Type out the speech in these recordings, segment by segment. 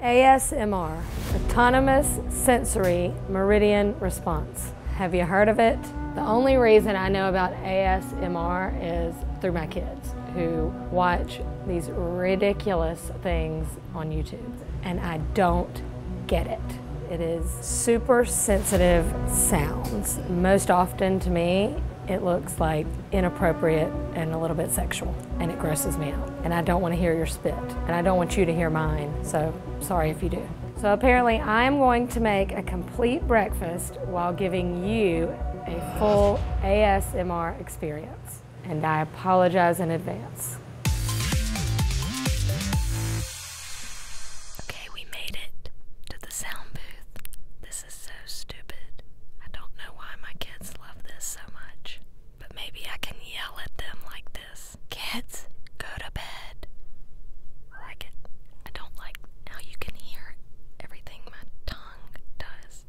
ASMR, Autonomous Sensory Meridian Response. Have you heard of it? The only reason I know about ASMR is through my kids who watch these ridiculous things on YouTube, and I don't get it. It is super sensitive sounds. Most often to me, it looks like inappropriate and a little bit sexual and it grosses me out. And I don't want to hear your spit, and I don't want you to hear mine, so sorry if you do. So apparently I'm going to make a complete breakfast while giving you a full ASMR experience. And I apologize in advance. Okay, we made it to the sound booth. This is so stupid. I don't know why my kids love this so much but maybe I can yell at them like this Kids, go to bed. I like it. I don't like how you can hear everything my tongue does.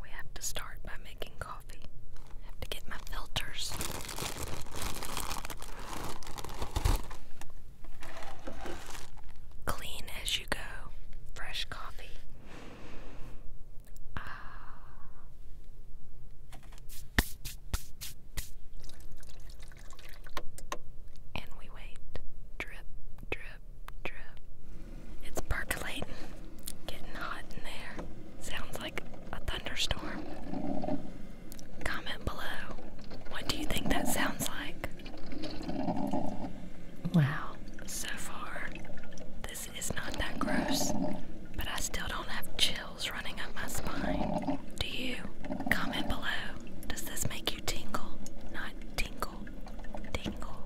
We have to start by making coffee. I have to get my filters. Clean as you go, fresh coffee. Ah. And we wait. Drip, drip, drip. It's percolating. Getting hot in there. Sounds like a thunderstorm. Comment below. What do you think that sounds like? Wow. So far, this it's not that gross, but I still don't have chills running up my spine. Do you? Comment below. Does this make you tingle? Not tingle. Tingle.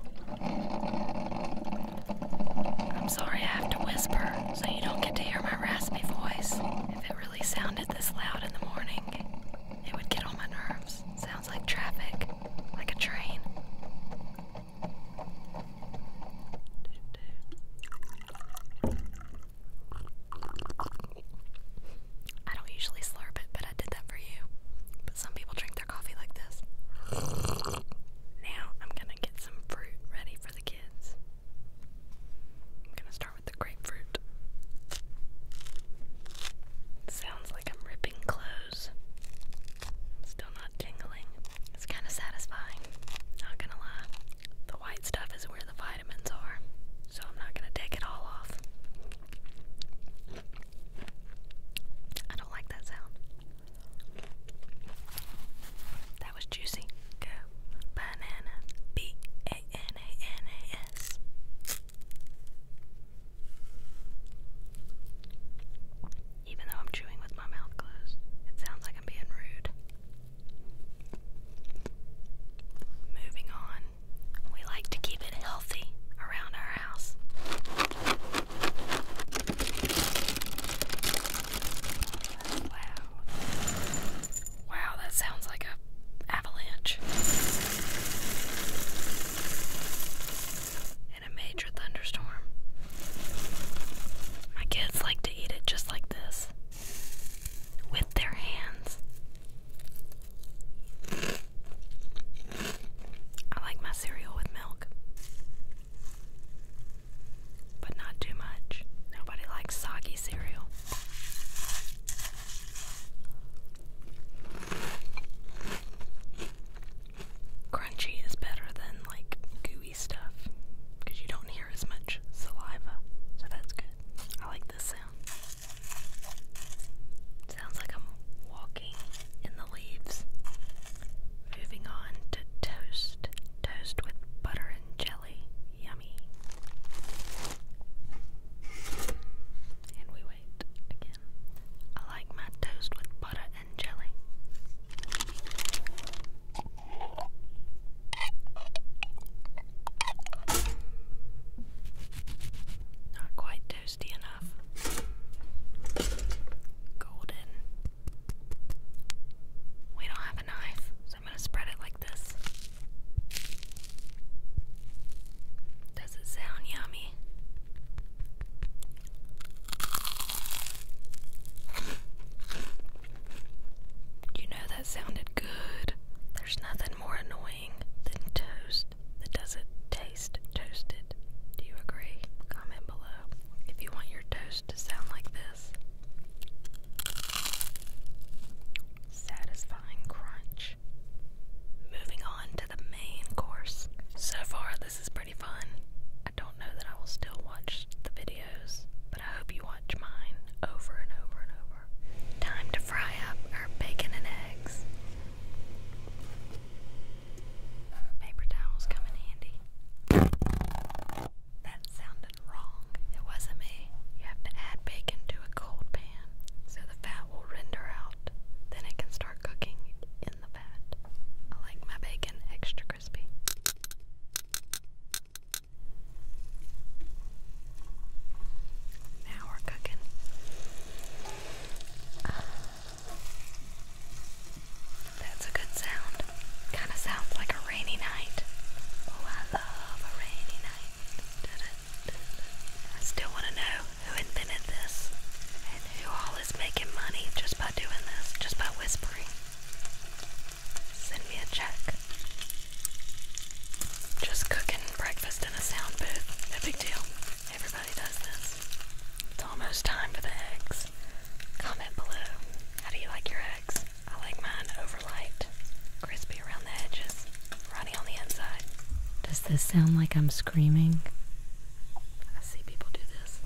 I'm sorry I have to whisper so you don't get to hear my raspy voice. If it really sounded this loud in the morning, it would get on my nerves. Sounds like traffic, like a train. I don't usually slurp it, but I did that for you. But some people drink their coffee like this. Now I'm gonna get some fruit ready for the kids. I'm gonna start with the grapefruit. Sounds like I'm ripping clothes still not tingling. It's kind of satisfying. Not gonna lie. The white stuff is where the vitamins are, so I'm not gonna take it all off. I don't like that sound. That was juicy. Go. Banana. B A N A N A S even though I'm chewing with my mouth closed. It sounds like I'm being rude. Moving on, we like to keep it healthy around our house. Wow. Wow, that sounds like a avalanche in a major thunderstorm. My kids like to eat it just like this with their hands. I like my cereal with milk, but not too much. Nobody likes soggy cereal. Crunchy is better than like gooey stuff because you don't hear as much saliva. So that's good. I like this sound. Sounds like I'm walking in the leaves. Moving on to toast. Toast with butter and jelly. Yummy. And we wait again. I like my toast with butter jelly. Not quite toasty enough. Golden. We don't have a knife, so I'm going to spread it like this. Does it sound yummy? You know that sounded good. There's nothing more annoying than toast that doesn't taste toasted. Do you agree? Comment below if you want your toast to sound like this. Satisfying crunch. Moving on to the main course. So far, this is pretty fun. I don't know that I will still watch the videos, but I hope you watch mine over and over and over. Time to fry up our bacon and eggs. Paper towels come handy. That sounded wrong. It wasn't me. You have to add bacon to a cold pan so the fat will render out. Then it can start cooking in the fat. I like my bacon extra now we're cooking. that's a good sound. Kind of sounds like a rainy night. Oh, I love a rainy night. I still want to know who invented this and who all is making money just by doing this, just by whispering. Send me a check. Just cooking breakfast in a sound booth. No big deal. Everybody does this. It's almost time for the eggs. Comment below. How do you like your eggs? I like mine overlight, crispy around the edges, runny on the inside. Does this sound like I'm screaming? I see people do this.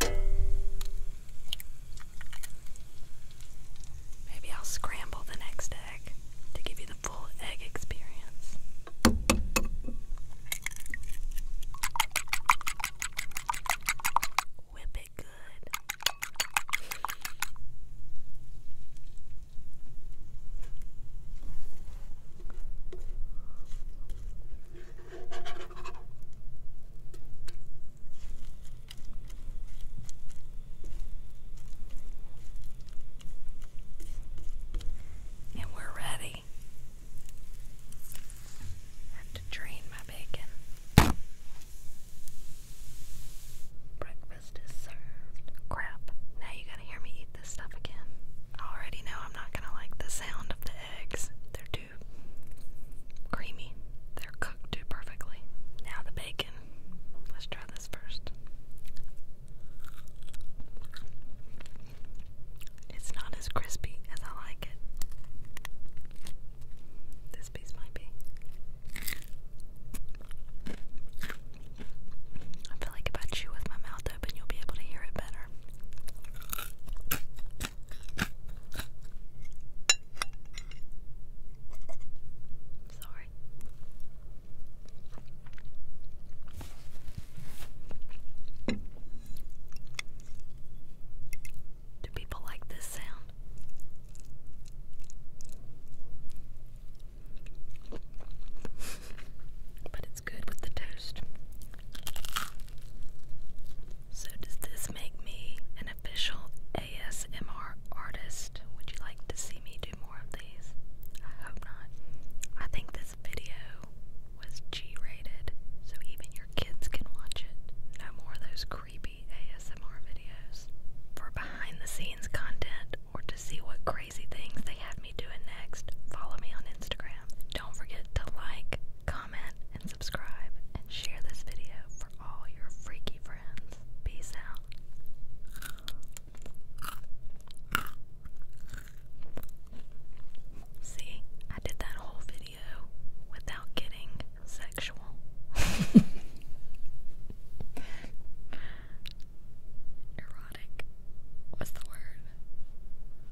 Maybe I'll scramble the next egg to give you the full egg experience. Whip it good. And we're ready. have to drain my bacon. Breakfast is served. Crap. Now you gotta hear me eat this stuff again. I already know I'm not gonna like the sound of the eggs. They're too creamy. They're cooked too perfectly. Now the bacon. Let's try this first. It's not as crispy as I like it. This piece might be. I feel like if I chew with my mouth open, you'll be able to hear it better. Sorry. Do people like this sound? but it good with the toast. So, does this make me an official ASMR artist? Would you like to see me do more of these? I hope not. I think this video was G rated, so even your kids can watch it. No more those creepy ASMR videos. For behind the scenes content or to see what crazy things they have me doing next, follow me on Instagram. Don't forget to like, comment, and subscribe, and share this video for all your freaky friends. Peace out. See, I did that whole video without getting sexual. Erotic. What's the word?